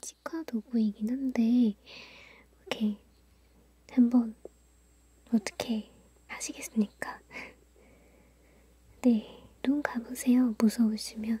치과 도구이긴 한데 이렇게 한번 어떻게 하시겠습니까? 네, 눈 감으세요. 무서우시면.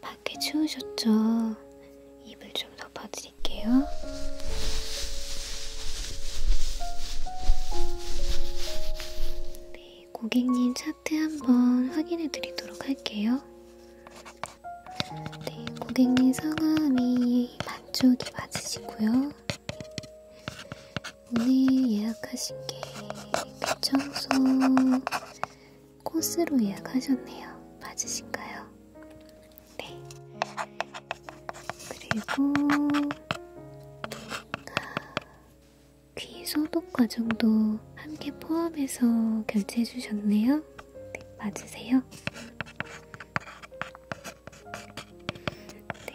밖에 추우셨죠? 이불 좀 덮어드릴게요. 네, 고객님 차트 한번 확인해 드리도록 할게요. 네, 고객님 성함이 반쪽이 맞으시고요. 오늘 예약하신 게그 청소 코스로 예약하셨네요. 맞으신가요? 네. 그리고 귀 소독 과정도 함께 포함해서 결제해 주셨네요. 네, 맞으세요? 네.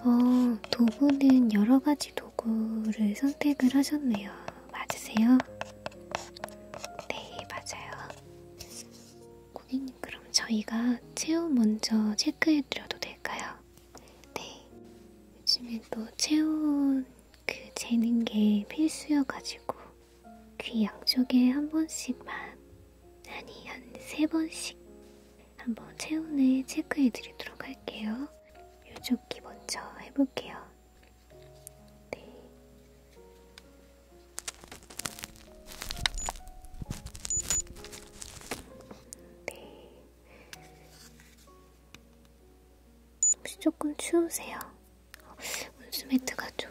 어, 도구는 여러 가지 도구를 선택을 하셨네요. 맞으세요? 네, 맞아요. 고객님, 그럼 저희가 체온 먼저 체크해드려도 될까요? 네. 요즘엔 또 체온 그 재는 게 필수여가지고 귀 양쪽에 한 번씩만 아니 한 세 번씩 한 번 체온을 체크해드리도록 할게요. 요쪽 귀 먼저 해볼게요. 네. 네. 혹시 조금 추우세요? 온수매트가 좀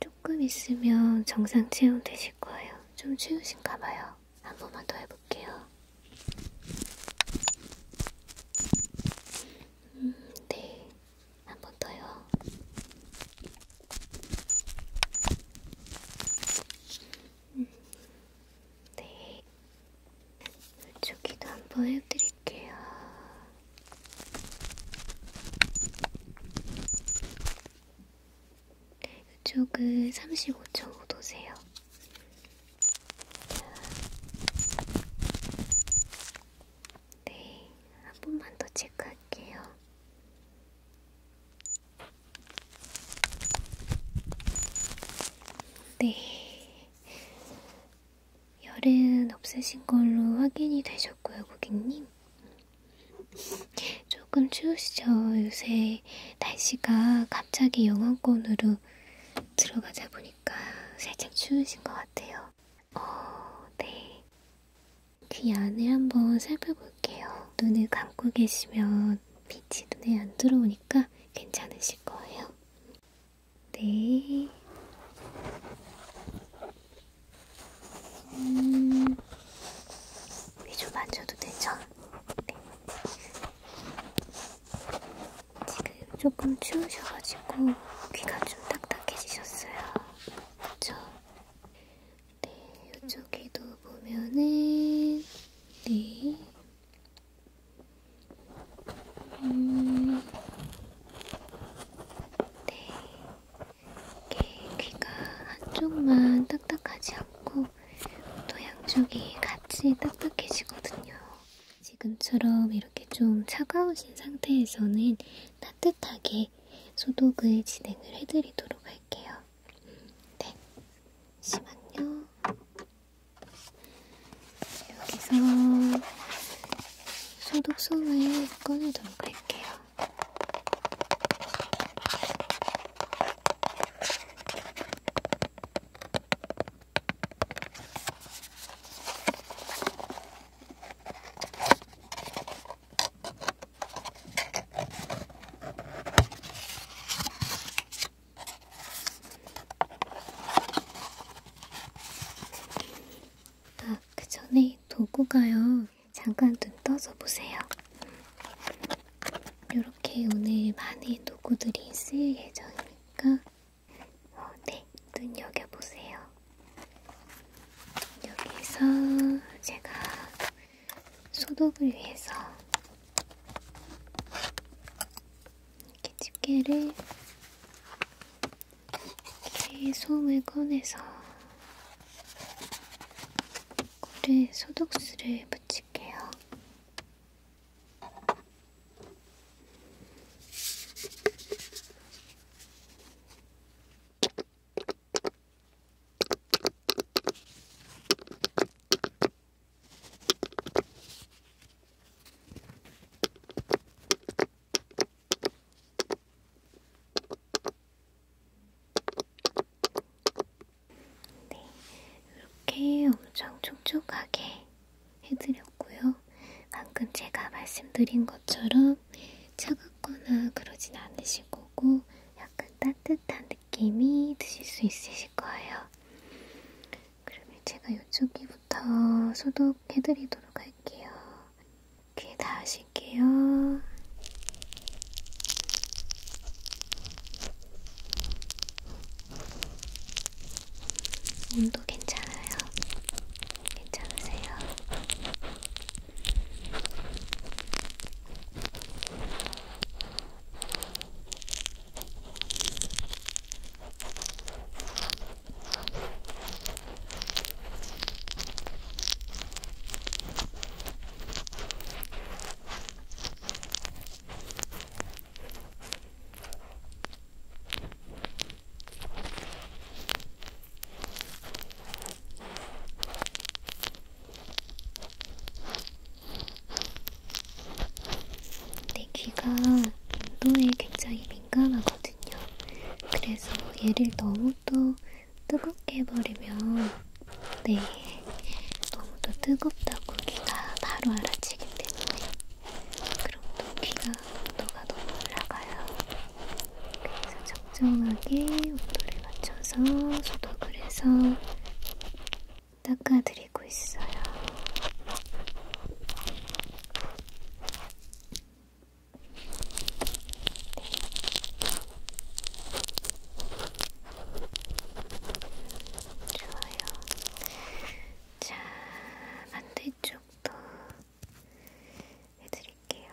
조금 있으면 정상 체온 되실 거예요. 좀 추우신가 봐요. 한 번만 더 해볼게요. 음, 네. 한 번 더요. 음, 네. 저기도 한번 해드릴게요. 이쪽은 35.5도세요. 네, 한 번만 더 체크할게요. 네, 열은 없으신 걸로 확인이 되셨고요, 고객님. 조금 추우시죠? 요새 날씨가 갑자기 영하권으로 들어가자 보니까 살짝 추우신 것 같아요. 어, 네. 귀 안을 한번 살펴볼게요. 눈을 감고 계시면 빛이 눈에 안 들어오니까 괜찮으실 거예요. 네. 음, 위좀 만져도 되죠? 네. 지금 조금 추우셔가지고 귀가 좀 딱딱해지셨어요. 그쵸? 네, 이쪽에도 보면은, 네, 음, 네, 이렇게 네, 귀가 한쪽만 딱딱하지 않고 또 양쪽이 같이 딱딱해지거든요. 지금처럼 이렇게 좀 차가우신 상태에서는 따뜻하게 소독을 진행을 해드리도록 할게요. 네, 잠시만요. 여기서 소독솜을 꺼내도록 할게요. 아, 그 전에 도구가요. 잠깐 눈 떠서 보세요. 이렇게 오늘 많은 도구들이 쓰일 예정이니까 어, 네, 눈여겨보세요. 여기서 제가 소독을 위해서 이렇게 집게를 이렇게 솜을 꺼내서 꿀에 소독수를 붙일게요. 네, 이렇게 엄청 촉촉하게 해드렸고요. 방금 제가 말씀드린 것처럼 차갑거나 그러진 않으실 거고 약간 따뜻한 느낌이 드실 수 있으실 거예요. 그러면 제가 이쪽이부터 소독해드리도록 할게요. 귀에 닿으실게요. 몸도 괜찮아요? 괜찮으세요? 내 귀가 운동에 굉장히 민감하거든요. 그래서 얘를 너무 또 뜨겁게 해버리면 네 너무 또 뜨겁다고 귀가 바로 알아채기 때문에 그럼 또 귀가 온도가 너무 올라가요. 그래서 적정하게 온도를 맞춰서 소독을 해서 닦아드리고 있어요. 네. 좋아요. 자, 반대쪽도 해드릴게요.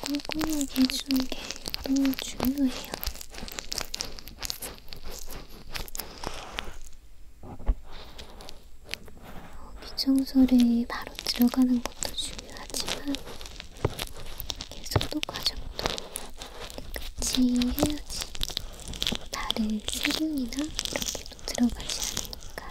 꼼꼼하게 해주는 게 너무 중요해요. 기청소에 바로 들어가는 것도 중요하지만 계속도 과정도 끝이 해야지 다른 세균이나 이렇게도 들어가지 않으니까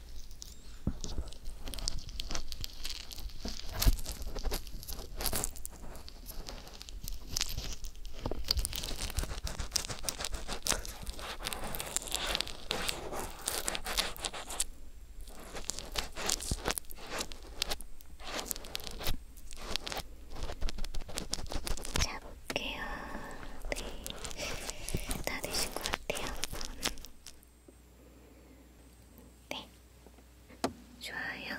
잡을게요. 네. 다 되신 것 같아요. 네, 좋아요.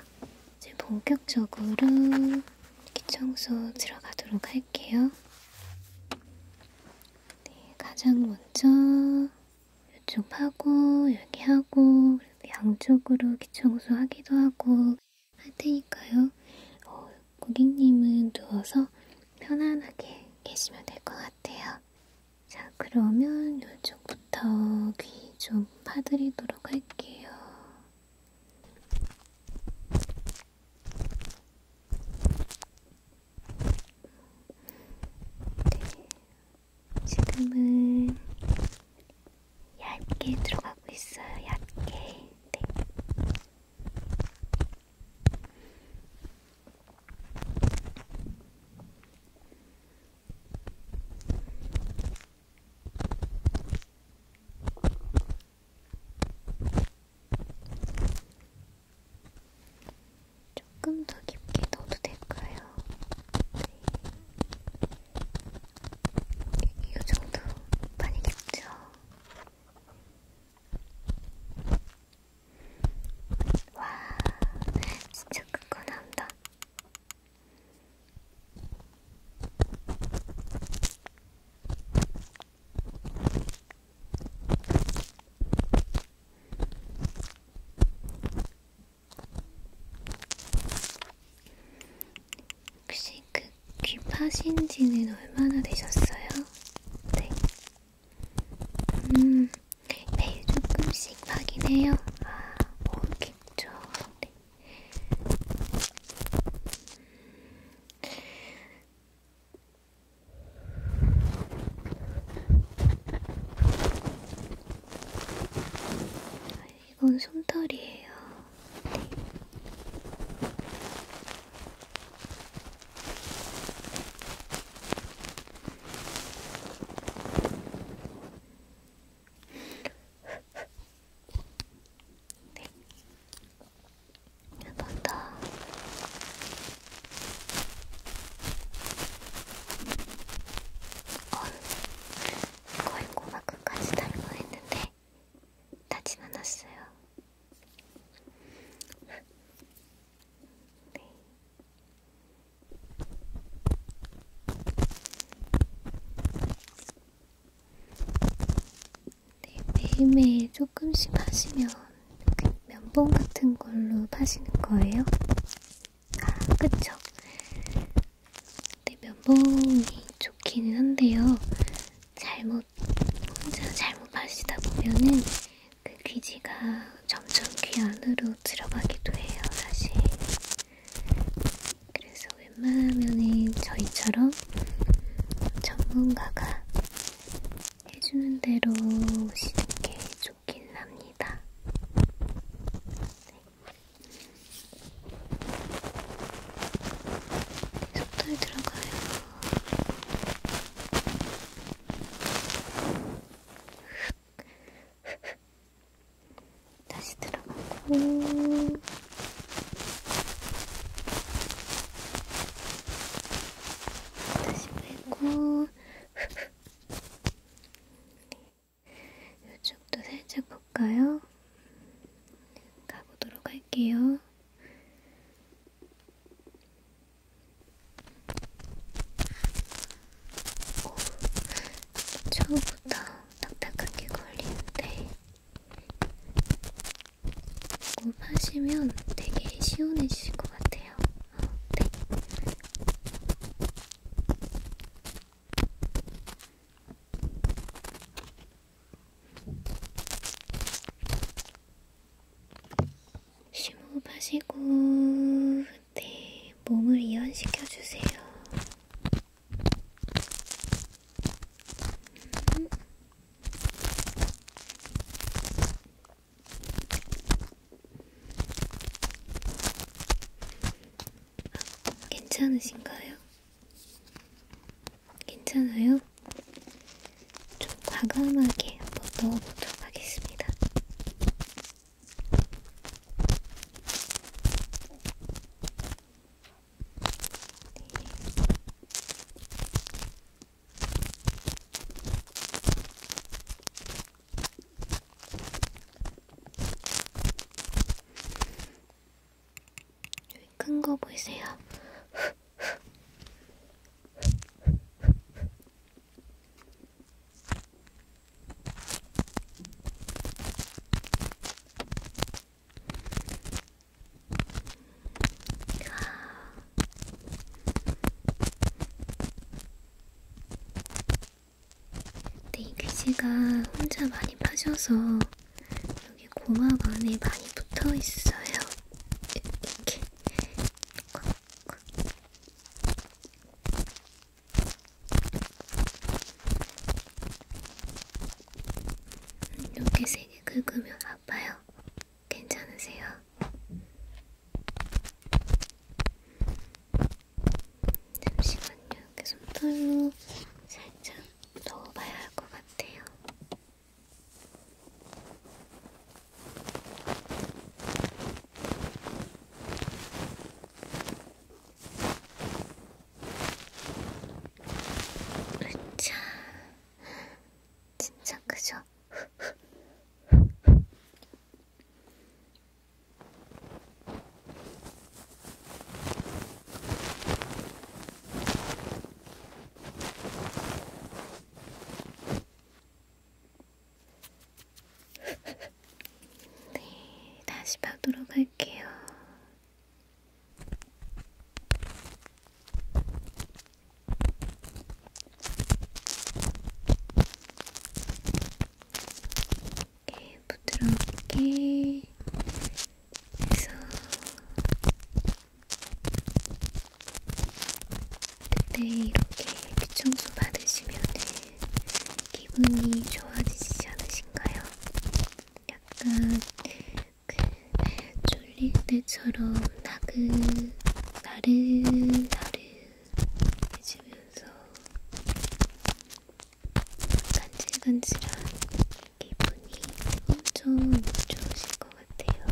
이제 본격적으로 기청소 들어가도록 할게요. 네, 가장 먼저 이쪽 하고 여기 하고 양쪽으로 기청소 하기도 하고 할 테니까요. 어, 고객님은 누워서 편안하게 계시면 될 것 같아요. 자, 그러면 이쪽부터 귀 좀 파드리도록 할게요. 네. 지금은 얇게 들어가고 있어요. 얇게. 네. 조금 더 깊게 넣어도 될까요? 네. 이 정도 많이 깊죠? 와, 진짜 큰거 나온다. 혹시 그 귀파신 지는 얼마나 되셨어요? 네. 음, 매일 조금씩 확인해요. 아, 모르겠죠. 네. 아, 이건 솜털이에요. 네. 네. 해봤다. 네. 어, 거의 꼬마 끝까지 달고 했는데, 나진 않았어요. 네. 네, 매일매일 조금씩 파시면 면봉 같은 걸로 파시는 거예요? 아, 그쵸? 네, 면봉이 좋기는 한데요. 잘못, 혼자 잘못 파시다 보면은 그 귀지가 점점 귀 안으로 들어가기도 해요, 사실. 그래서 웬만하면은 저희처럼 전문가가 해주는 대로 오시는 게 좋긴 합니다. 네. 속도에 들어가요. 흡. 다시 들어가고 다시 빼고 이쪽도 살짝 볼까요? 가보도록 할게요. 오, 처음부터 딱딱하게 걸리는데 꼭 하시면 되게 시원해지실 것 같아요. 어, 네. 음. 심호흡하시고 네, 몸을 이완시켜주세요. 음. 아, 괜찮으신가요? 괜찮아요? 좀 과감하게 한번 넣어보도록 하겠습니다. 여기 큰거 보이세요? 근데 이 글씨가 혼자 많이 파셔서 여기 고막 안에 많이 붙어 있어요. 이렇게 콕콕 이렇게 세게 긁으면 그 아파요. 괜찮으세요? 잠시만요. 이렇게 손톱으로 살짝 넣어봐야 할 것 같아요. 으차 진짜 크죠? 네, 다시 박도록 할게요. 이렇게 네, 부드럽게 해서 그때 네, 이렇게 귀청소 받으시면은 기분이 좋아지지 않으신가요? 약간 그 졸릴 때처럼 나그 나른나른해지면서 간질간질한 기분이 엄청 좋으실 것 같아요.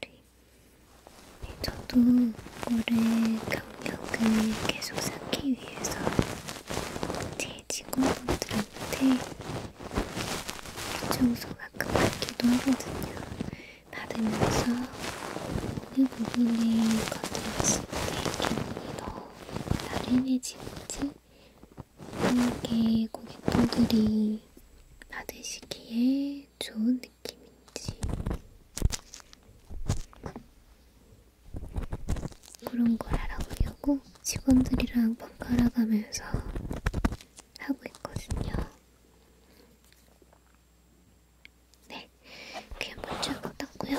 네, 저도 올해 강력을 계속 쌓기 위해서 제 직원분들한테 청소가 급하기도 하거든요. 받으면서 우리 부분에 건드렸을 때 기분이 더 나른해지는지 함께 고객분들이 받으시기에 좋은 느낌인지 그런 걸 알아보려고 직원들이랑 번갈아가면서 하고 있거든요. 네, 귀 한번 쫙 닦고요.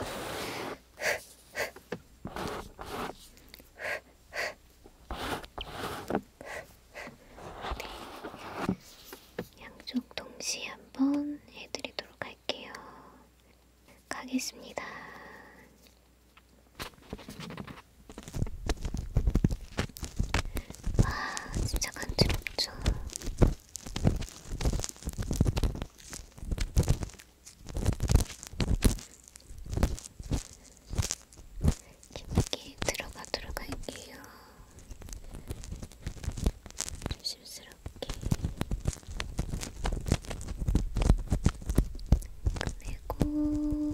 네, 양쪽 동시에 한번 해드리도록 할게요. 가겠습니다. 와 아, 진짜 간지럽죠. 깊게 들어가도록 할게요. 조심스럽게. 그리고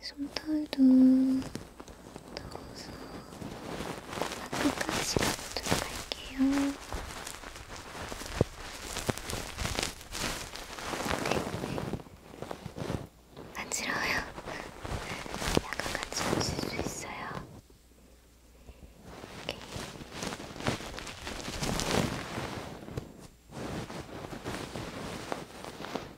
이렇게 손털도 넣어서 끝까지 가보도록 할게요. 간지러워요. 약간 간지러우실 수 있어요. 이렇게. 조금 더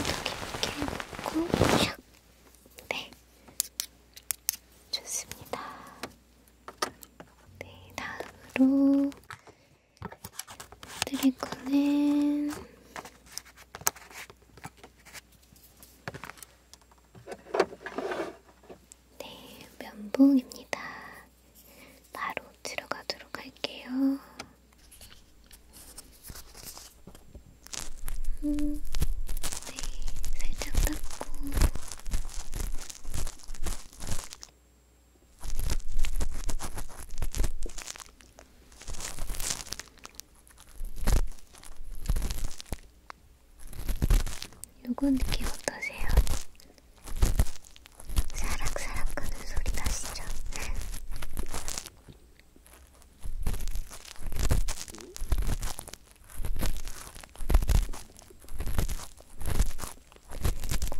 깊게 넣고 샥! 네, 좋습니다. 네, 다음으로 드릴 거는 네, 면봉입니다. 바로 들어가도록 할게요. 음, 네, 살짝 닦고. 네, 요거 느낌 어떠세요? 사락사락 하는 소리 나시죠?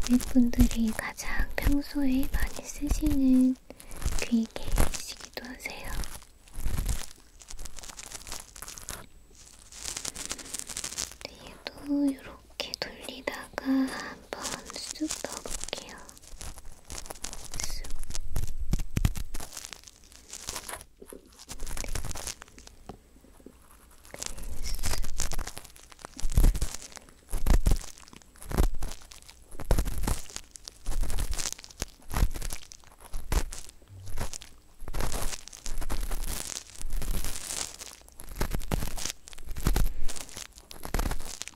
고객분들이 가장 평소에 많이 쓰시는 귀개이시기도 하세요. 그리고 이렇게 돌리다가 한번 쑥 넣어볼게요. 쑥. 네,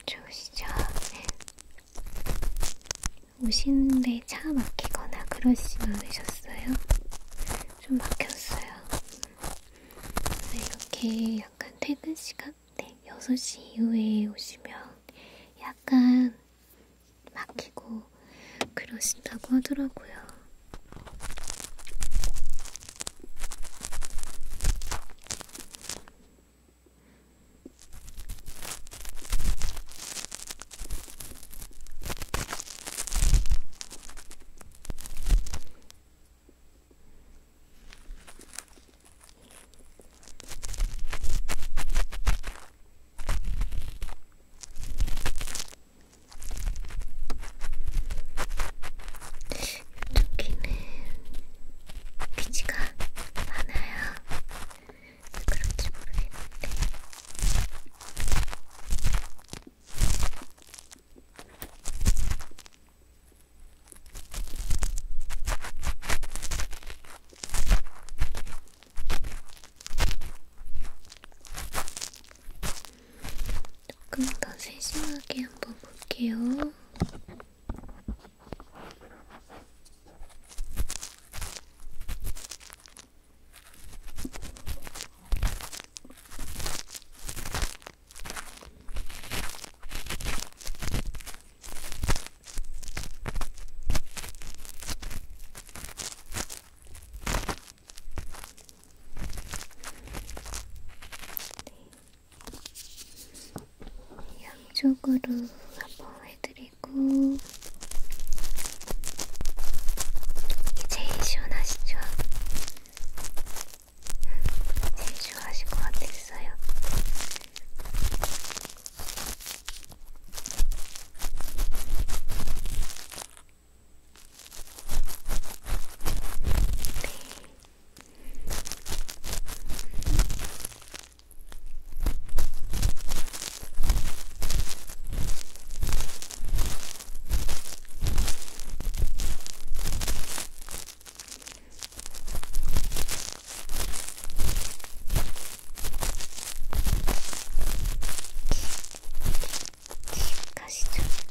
좋으시죠? 네. 오시는데 차 막히거나 그러시진 않으셨어요? 좀 막혔어요. 네, 이렇게 약간 퇴근 시간? 네, 6시 이후에 오시면 약간 막히고 그러신다고 하더라고요. 이쪽 귀는 귀지가 많아요. 그런지 모르겠는데. 조금 더 세심하게 한번 볼게요. 네. 양쪽으로 한번 해드리고 이게 제일 시원하시죠? 음, 제일 좋아하실 것 같았어요. しかしちょっ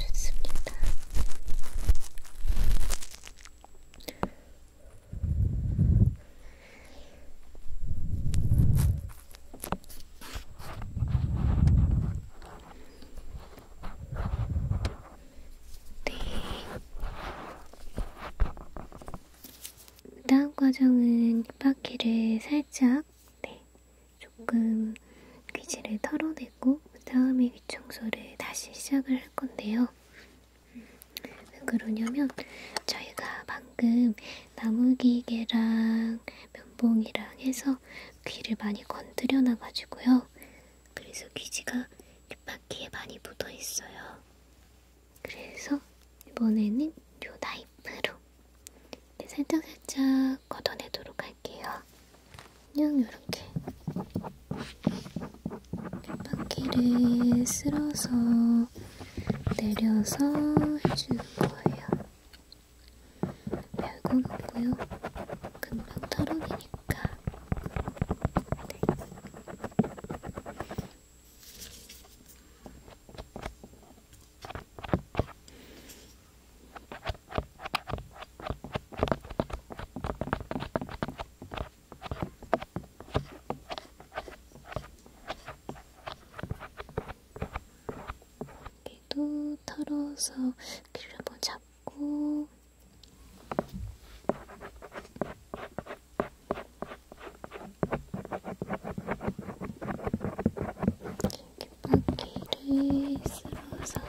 좋습니다. 네. 다음 과정은 입바퀴를 살짝 네, 조금 귀지를 털어내고 그 다음에 귀 청소를 다시 시작을 할 건데요. 음, 왜 그러냐면 저희가 방금 나무기계랑 면봉이랑 해서 귀를 많이 건드려 놔가지고요. 그래서 귀지가 귓바퀴에 많이 묻어 있어요. 그래서 이번에는 요 나이프로 살짝살짝 네, 걷어내도록 할게요. 할게요. 그냥 이렇게 바퀴를 쓸어서 내려서 해주는 거예요. 별거 없고요. 금방 털어내니까. 네. 여기도 털어서 귀를 한번 잡고 이렇게 쳇바퀴를 쓸어서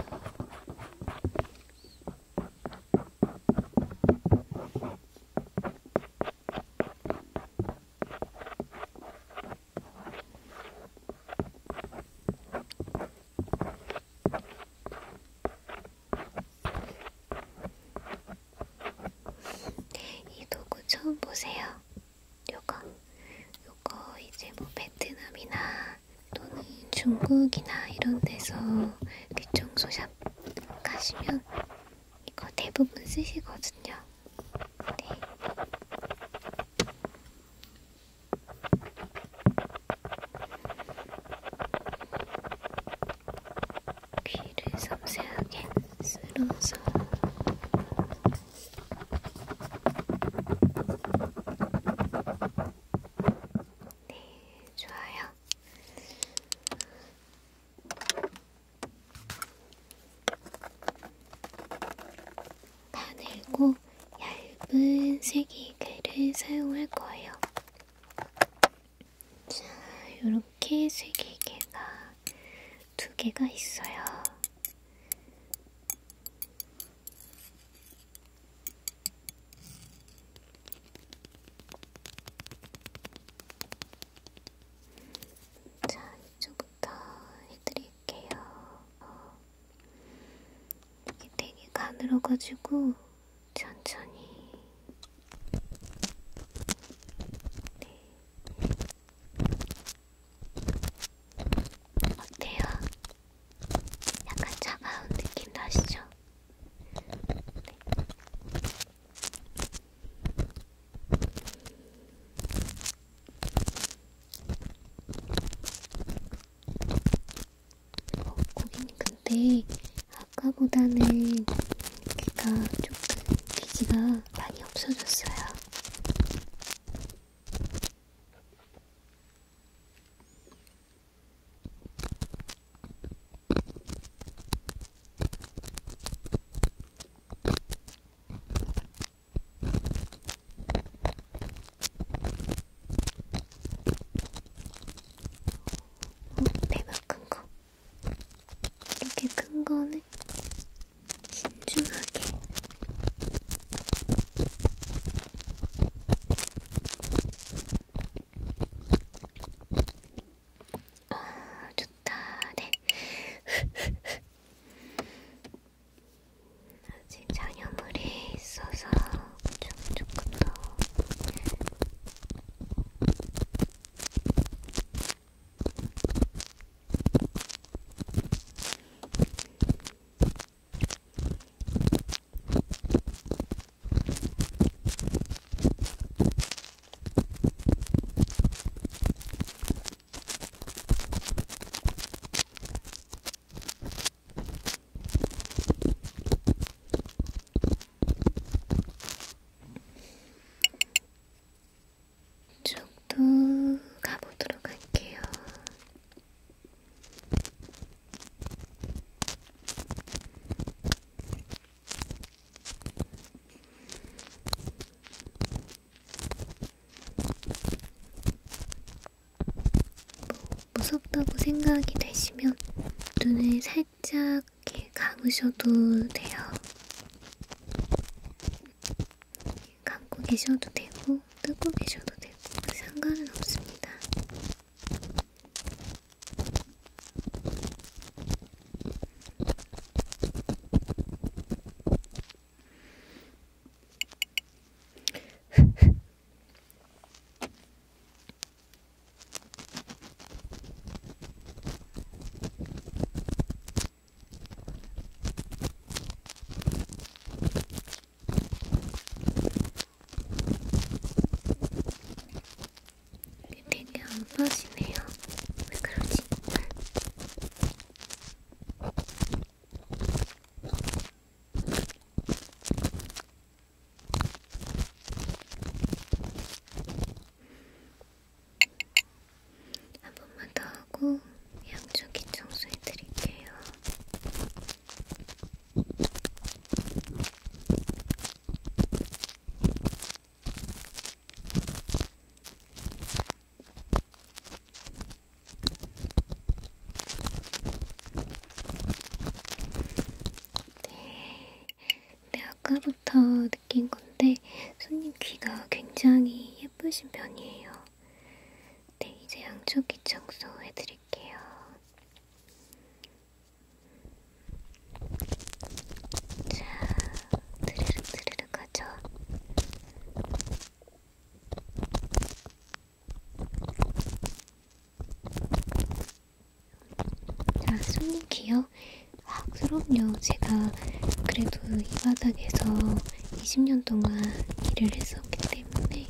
이 도구 처음 보세요. 요거 요거 이제 뭐 베트남이나 또는 중국이나 이런 데서 귀청소샵 가시면 이거 대부분 쓰시거든요. 네. 귀를 섬세하게 쓸어서 네, 좋아요. 가늘고 얇은 쇠기글을 사용할 거예요. 자, 요렇게 쇠기개가 두 개가 있어요. 자, 이쪽부터 해드릴게요. 어, 이게 되게 가늘어가지고 천천히. 네. 어때요? 약간 차가운 느낌 나시죠? 네. 어, 고객님 근데 아까보다는 귀가 조금 기지가 많이 없어졌어요. 배가 큰 거. 이렇게 큰 거는 신중하게 아, 좋다. 네. 아직 장염물이 있어서 좀 조금 더. 이쪽도 가보도록 할게요. 무섭다고 생각이 되시면 눈을 살짝 이렇게 감으셔도 돼요. 감고 계셔도 되고 되고 뜯고 계셔도 되고 상관은 없습니다. 되게 안 빠지네요. 왜 그러지? 한 번만 더 하고 양쪽이 청소해 드릴게요. 네, 네, 아까부터 느낀 건데 손님 귀가 굉장히 예쁘신 편이에요. 네, 이제 양쪽이 청소 해드릴게요. 자, 드르륵 드르륵 하죠. 자, 손님 기억? 아, 그럼요. 제가 그래도 이 바닥에서 20년 동안 일을 했었기 때문에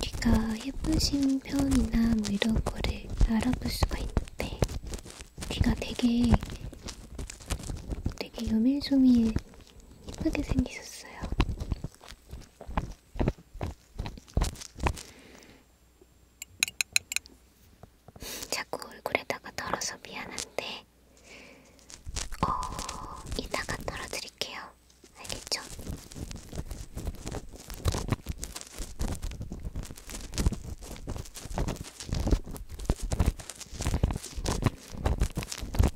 귀가 예쁘신 편이나 뭐 이런 거를 알아볼 수가 있는데 귀가 되게 되게 요밀조밀 예쁘게 생기셨어요. 자꾸 얼굴에다가 덜어서 미안한데 어 이따가 덜어드릴게요. 알겠죠?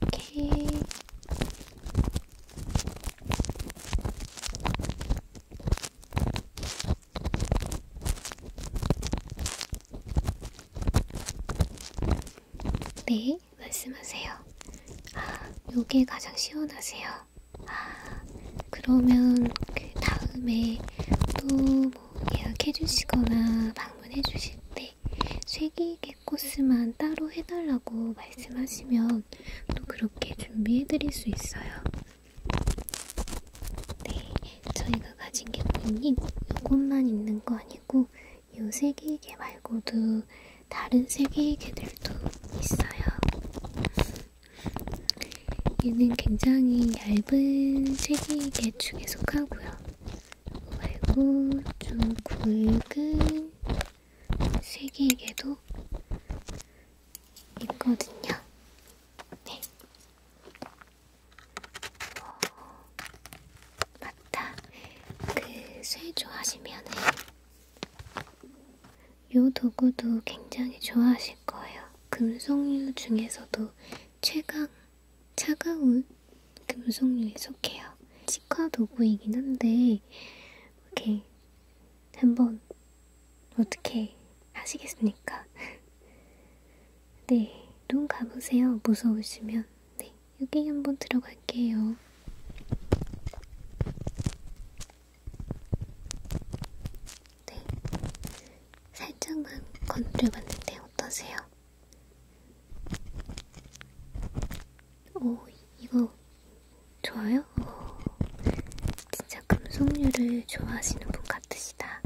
오케이. 네. 말씀하세요. 아, 요게 가장 시원하세요. 아, 그러면 그 다음에 또 뭐 예약해주시거나 방문해주실 때 쇠기계 코스만 따로 해달라고 말씀하시면 또 그렇게 준비해드릴 수 있어요. 네, 저희가 가진 게 보이니 요것만 있는 거 아니고 이 세계계 말고도 다른 세계계들도 있어요. 얘는 굉장히 얇은 세계계 중에 속하고요. 말고 좀 굵은 세계계도 있거든요. 네. 어, 맞다. 그쇠 좋아하시면은 이 도구도 굉장히 좋아하실 거예요. 금속류 중에서도 최강 차가운 금속류에 속해요. 치과 도구이긴 한데 이렇게 한번 어떻게 하시겠습니까? 네, 눈 감으세요. 무서우시면. 네. 여기 한번 들어갈게요. 네. 살짝만 건드려봤는데 어떠세요? 오, 이거 좋아요? 오, 진짜 금속류를 좋아하시는 분 같으시다.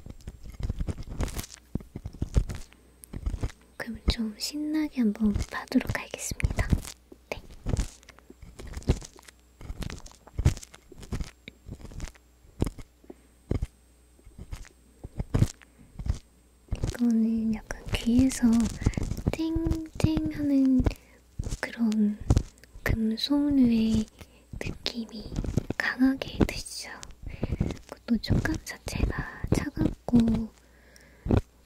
그럼 좀 신나게 한번 봐도록 하겠습니다. 네. 이거는 약간 귀에서 땡땡 하는 그런 금속류의 느낌이 강하게 드시죠. 그것도 촉감 자체가 차갑고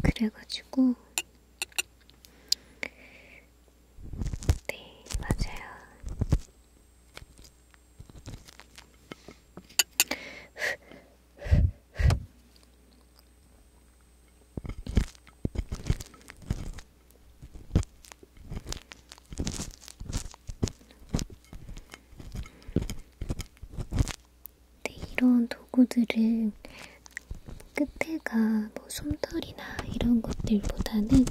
그래가지고 네, 맞아요. 근데 네, 이런 도구들은 끝에가 뭐 솜털이나 이런 것들보다는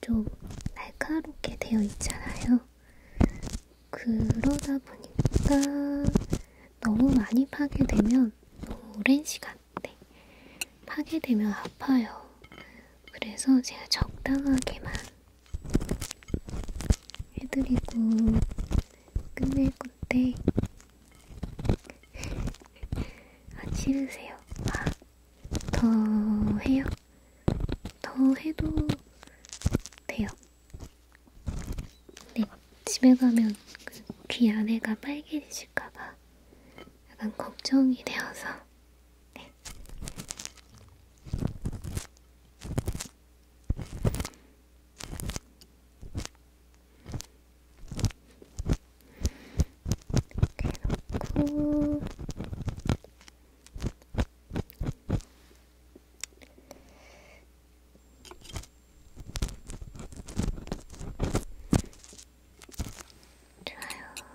좀 날카롭게 되어 있잖아요. 그러다 보니까 너무 많이 파괴되면 너무 오랜 시간 네. 파괴되면 아파요. 그래서 제가 적당하게만 해드리고 끝낼 건데 아, 지으세요. 아, 더 해요? 더 해도 돼요. 근데 네, 집에 가면 그 귀 안에가 빨개질까봐 약간 걱정이 되어서. 네. 이렇게 놓고 좋아요.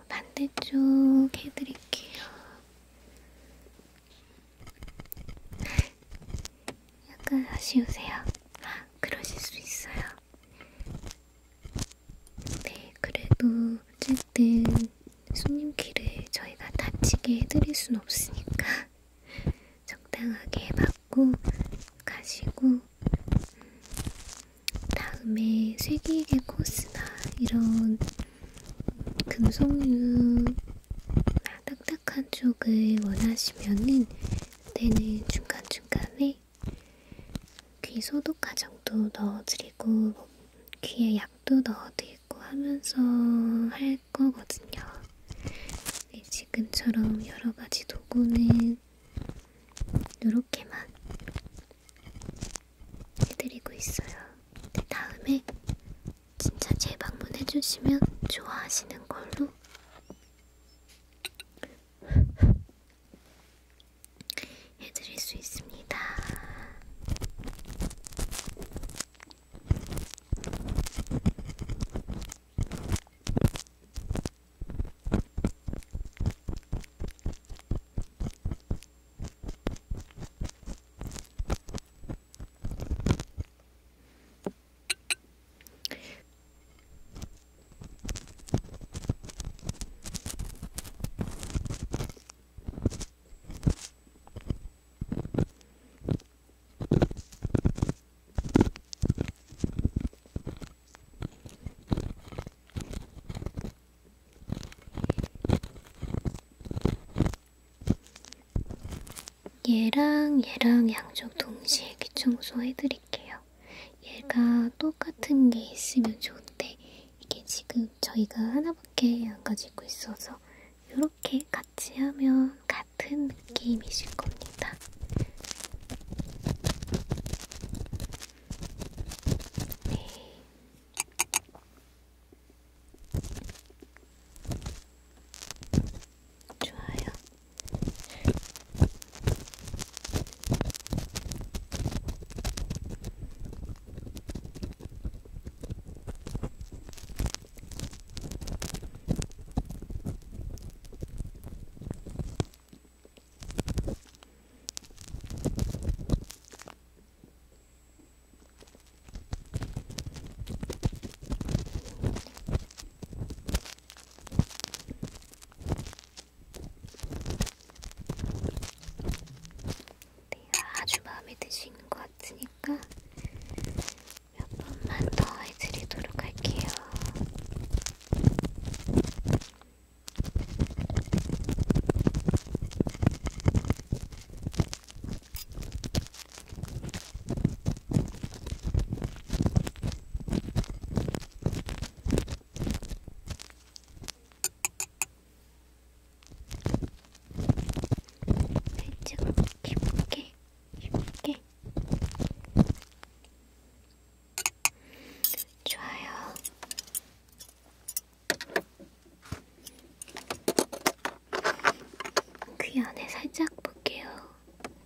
반대쪽 해드릴게요. 약간 아쉬우세요? 아, 그러실 수 있어요. 네, 그래도 어쨌든 손님 키를 저희가 다치게 해드릴 순 없으니까 적당하게 받고 가시고 음, 다음에 쇠기계 코스나 이런 금속류 아, 딱딱한 쪽을 원하시면은 때는 중간중간에 귀 소독 과정도 넣어드리고 뭐 귀에 약도 넣어드리고 하면서 할 거거든요. 네, 지금처럼 여러 가지 도구는 이렇게만 해드리고 있어요. 네, 다음에 진짜 재방문해주시면 좋아하시는 걸로 해드릴 수 있습니다. 얘랑 얘랑 양쪽 동시에 귀청소 해드릴게요. 얘가 똑같은 게 있으면 좋은데 이게 지금 저희가 하나밖에 안 가지고 있어서 이렇게 같이 하면 같은 느낌이실 겁니다. 네. 좋아요. 네, 아주 마음에 드시는 것 같으니까 몇 번만 더 해드리도록 할게요. 살짝을 깊게 깊게 좋아요. 귀 안에 살짝 볼게요.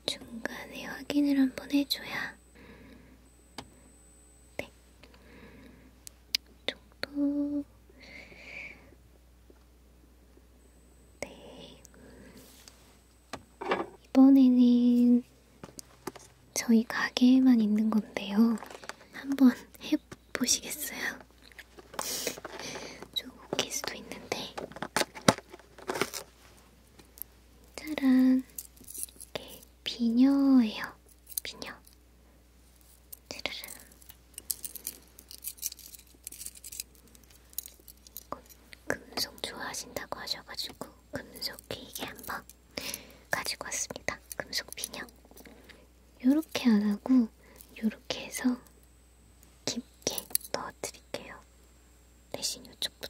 중간에 확인을 한번 해줘야 네. 정도. 네. 이번에는 저희 가게에만 있는 건데요. 한번 해보시겠어요? 조금 웃길 수도 있는데. 짜란. 이게 비녀예요. 비녀. 르르 금속 좋아하신다고 하셔가지고 금속 기계 한번 가지고 왔습니다. 금속 비녀. 요렇게 안 하고 요렇게 해서 깊게 넣어드릴게요. 대신 이쪽부터.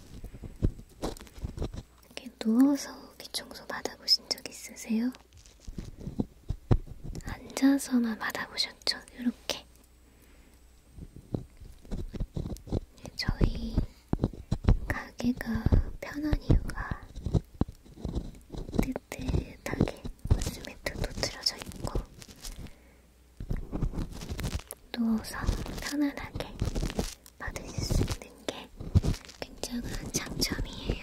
이렇게 누워서 귀 청소 받아보신 적 있으세요? 앉아서만 받아보셨죠? 이렇게 네, 저희 가게가 편한 이유가 뜨뜻하게 매트도 틀어져 있고 누워서 편안하게 받으실 수 있는 게 굉장한 장점이에요.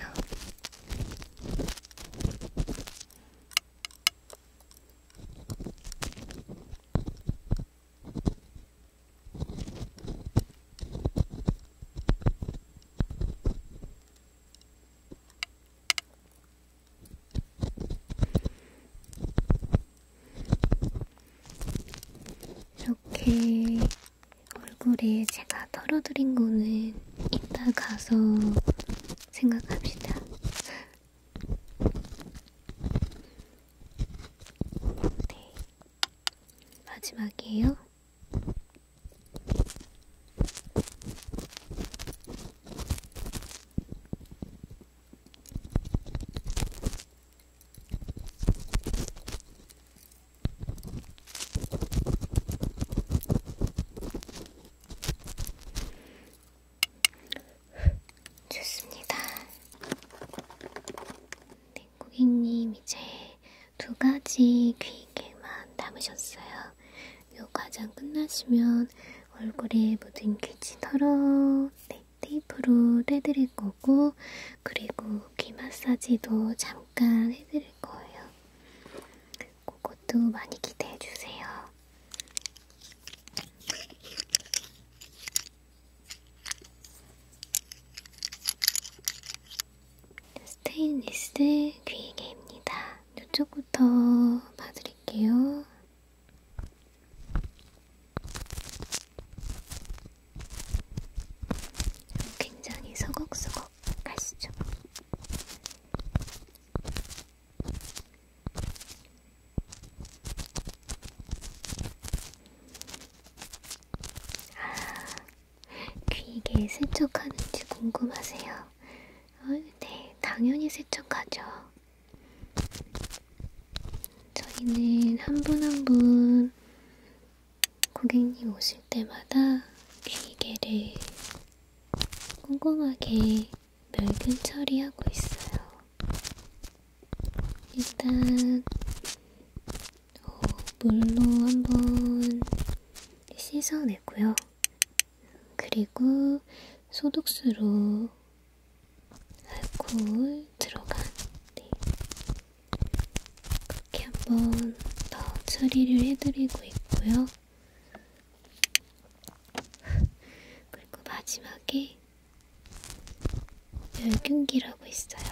이렇게 얼굴에 제가 털어드린 거는 이따 가서 생각합시다. 네. 마지막이에요. 좋습니다. 네, 고객님 이제 두 가지 귀개만 남으셨어요. 요 과정 끝나시면 얼굴에 묻은 귀지 털어. 네. 테이프로 떼드릴 거고, 그리고 귀 마사지도 잠깐 해드릴 거예요. 그것도 많이 기대해 주세요. 스테인리스 귀이개입니다. 이쪽부터 봐드릴게요. 굉장히 서걱서걱 가시죠. 아, 귀에게 세척하는지 궁금하세요? 어, 네, 당연히 세척하죠. 저희는 한분한분 한 분 고객님 오실 때마다 귀개를 꼼꼼하게 멸균 처리하고 있어요. 일단 어, 물로 한번 씻어내고요. 그리고 소독수로 알코올 들어간 네. 그렇게 한번 더 처리를 해드리고 있고요. 그리고 마지막에 멸균기라고 있어요.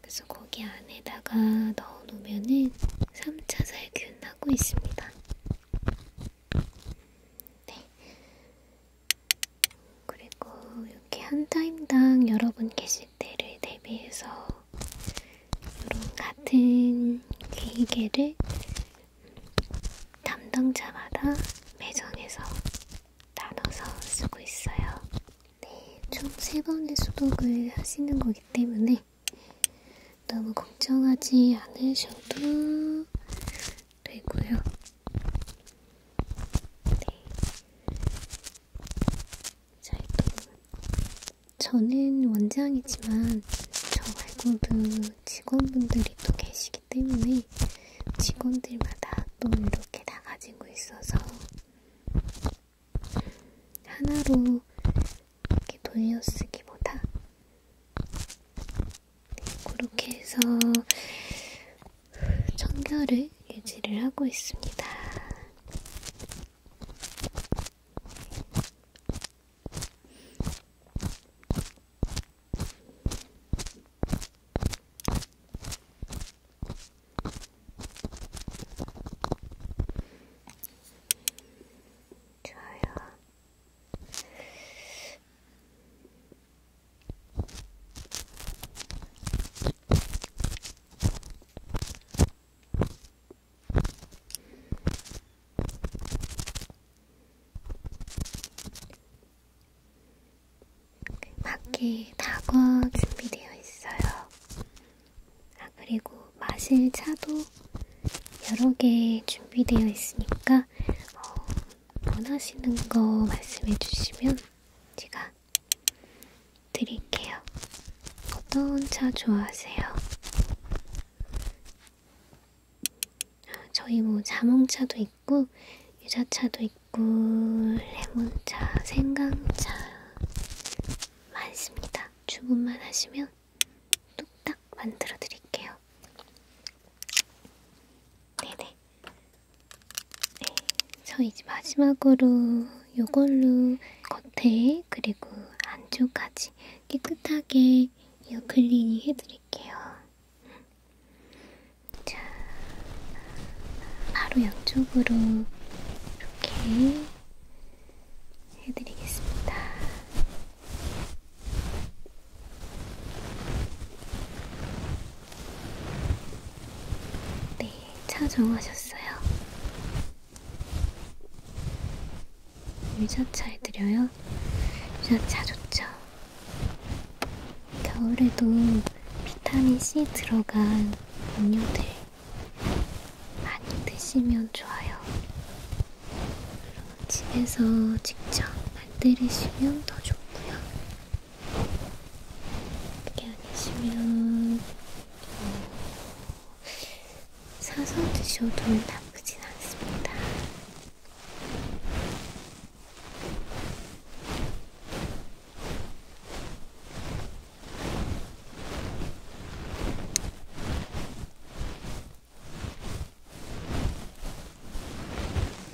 그래서 거기 안에다가 넣어놓으면은 3차 살균하고 있습니다. 네. 그리고 이렇게 한 타임당 여러분 계실 때를 대비해서 이런 같은 기계를 담당자마다 매정해서 나눠서 쓰고 있어요. 네, 총 세 번의 소독을 하시는 거기 때문에 너무 걱정하지 않으셔도 되고요. 네. 자, 또 저는 원장이지만 저 말고도 직원분들이 또 계시기 때문에 직원들마다 또 이렇게 다 가지고 있어서 하나로 이렇게 돌려쓰기보다 그렇게 해서 청결을 유지를 하고 있습니다. 좋아요. 바퀴 다고 준비되어 있어요. 아, 그리고 마실 차도 여러 개 준비되어 있으니까 어, 원하시는 거 말씀해 주시면 제가 드릴게요. 어떤 차 좋아하세요? 저희 뭐 자몽차도 있고 유자차도 있고 레몬차, 생강차 많습니다. 주문만 하시면 뚝딱 만들어 드릴게요. 네네. 네, 저 이제 마지막으로 요걸로 겉에 그리고 안쪽까지 깨끗하게 이어클리닝 해드릴게요. 자, 바로 양쪽으로 이렇게 해드리겠습니다. 네, 차 정하셨어요? 유자차 해드려요? 유자차 좋죠? 겨울에도 비타민C 들어간 음료들 많이 드시면 좋아요. 집에서 직접 만드시면 더 좋고요. 그게 아니시면 어, 사서 드셔도 나쁘진 않습니다.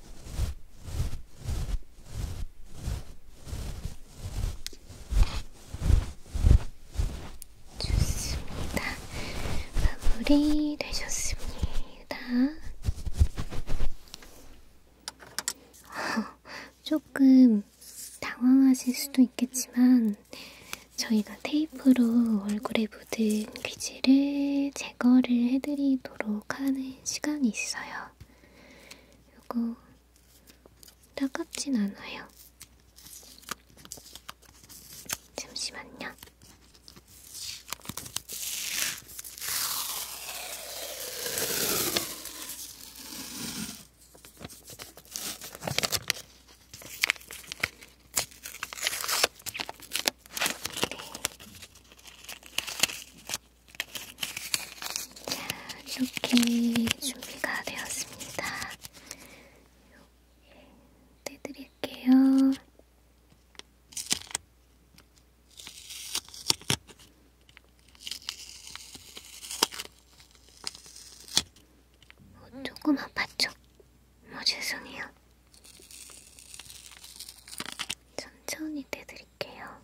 좋습니다. 마무리 되셨습니다. 조금 당황하실 수도 있겠지만 저희가 테이프로 얼굴에 입에 묻은 귀지를 제거를 해드리도록 하는 시간이 있어요. 이거 따갑진 않아요. 잠시만요. 네. 이렇게 준비가 되었습니다. 이렇게 떼드릴게요. 어, 조금 아팠죠? 뭐 죄송해요. 천천히 떼드릴게요.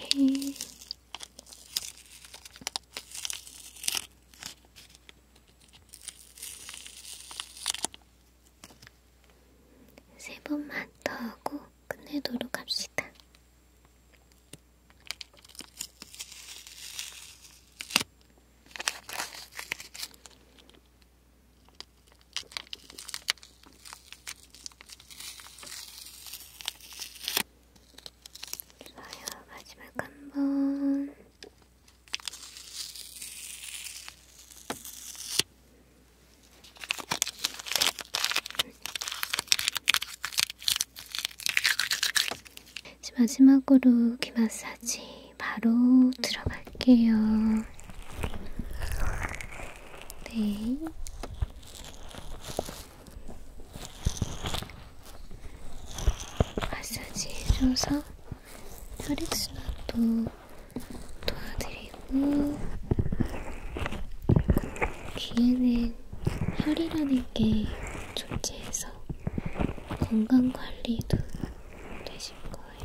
오케이. 세 번만 더 하고 끝내도록 합시다. 좋아요. 마지막 한 번. 마지막으로 귀 마사지 바로 들어갈게요. 네. 마사지 해줘서 혈액순환도 도와드리고 귀에는 혈이라는 게 존재해서 건강관리도 되실 거예요.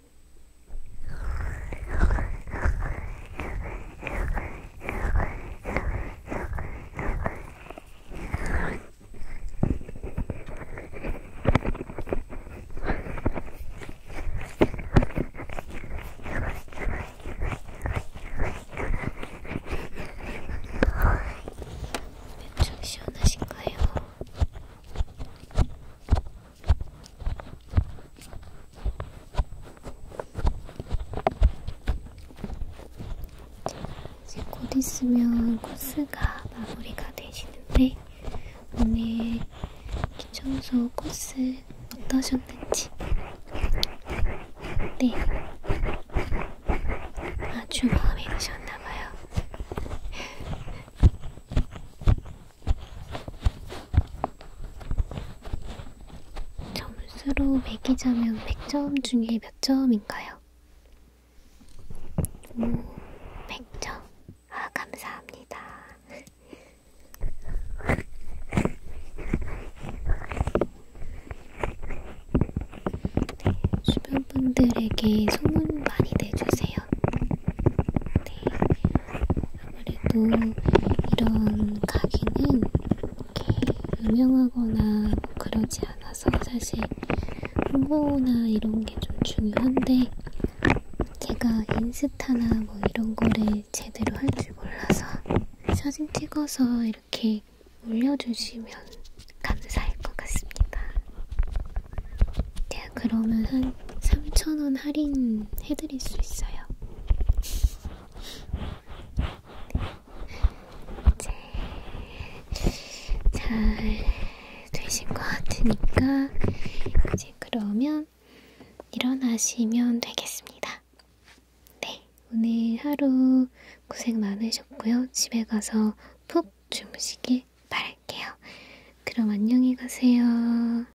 엄청 시원하신가요? 이제 곧 있으면 코스가 마무리가 되시는데 오늘 기청소 코스 어떠셨는지 네 아주 마음에 드셨나봐요 점수로 매기자면 100점 중에 몇 점인가요? 오, 100점. 아, 감사합니다. 네, 주변 분들에게 소문 많이 내주세요. 네, 아무래도 이런 가게는 유명하거나 뭐 그러지 않아서 사실 홍보나 이런 게 좀 중요한데 제가 인스타나 뭐 이런 거를 제대로 할 줄 몰라서 사진 찍어서 이렇게 올려주시면 감사할 것 같습니다. 제가 네, 그러면 한 3,000원 할인 해드릴 수 있어요. 이제 네. 잘 되신 것 같으니까 이제 그러면 일어나시면 되겠습니다. 네, 오늘 하루 고생 많으셨고요. 집에 가서 푹 주무시길 바랄게요. 그럼 안녕히 가세요.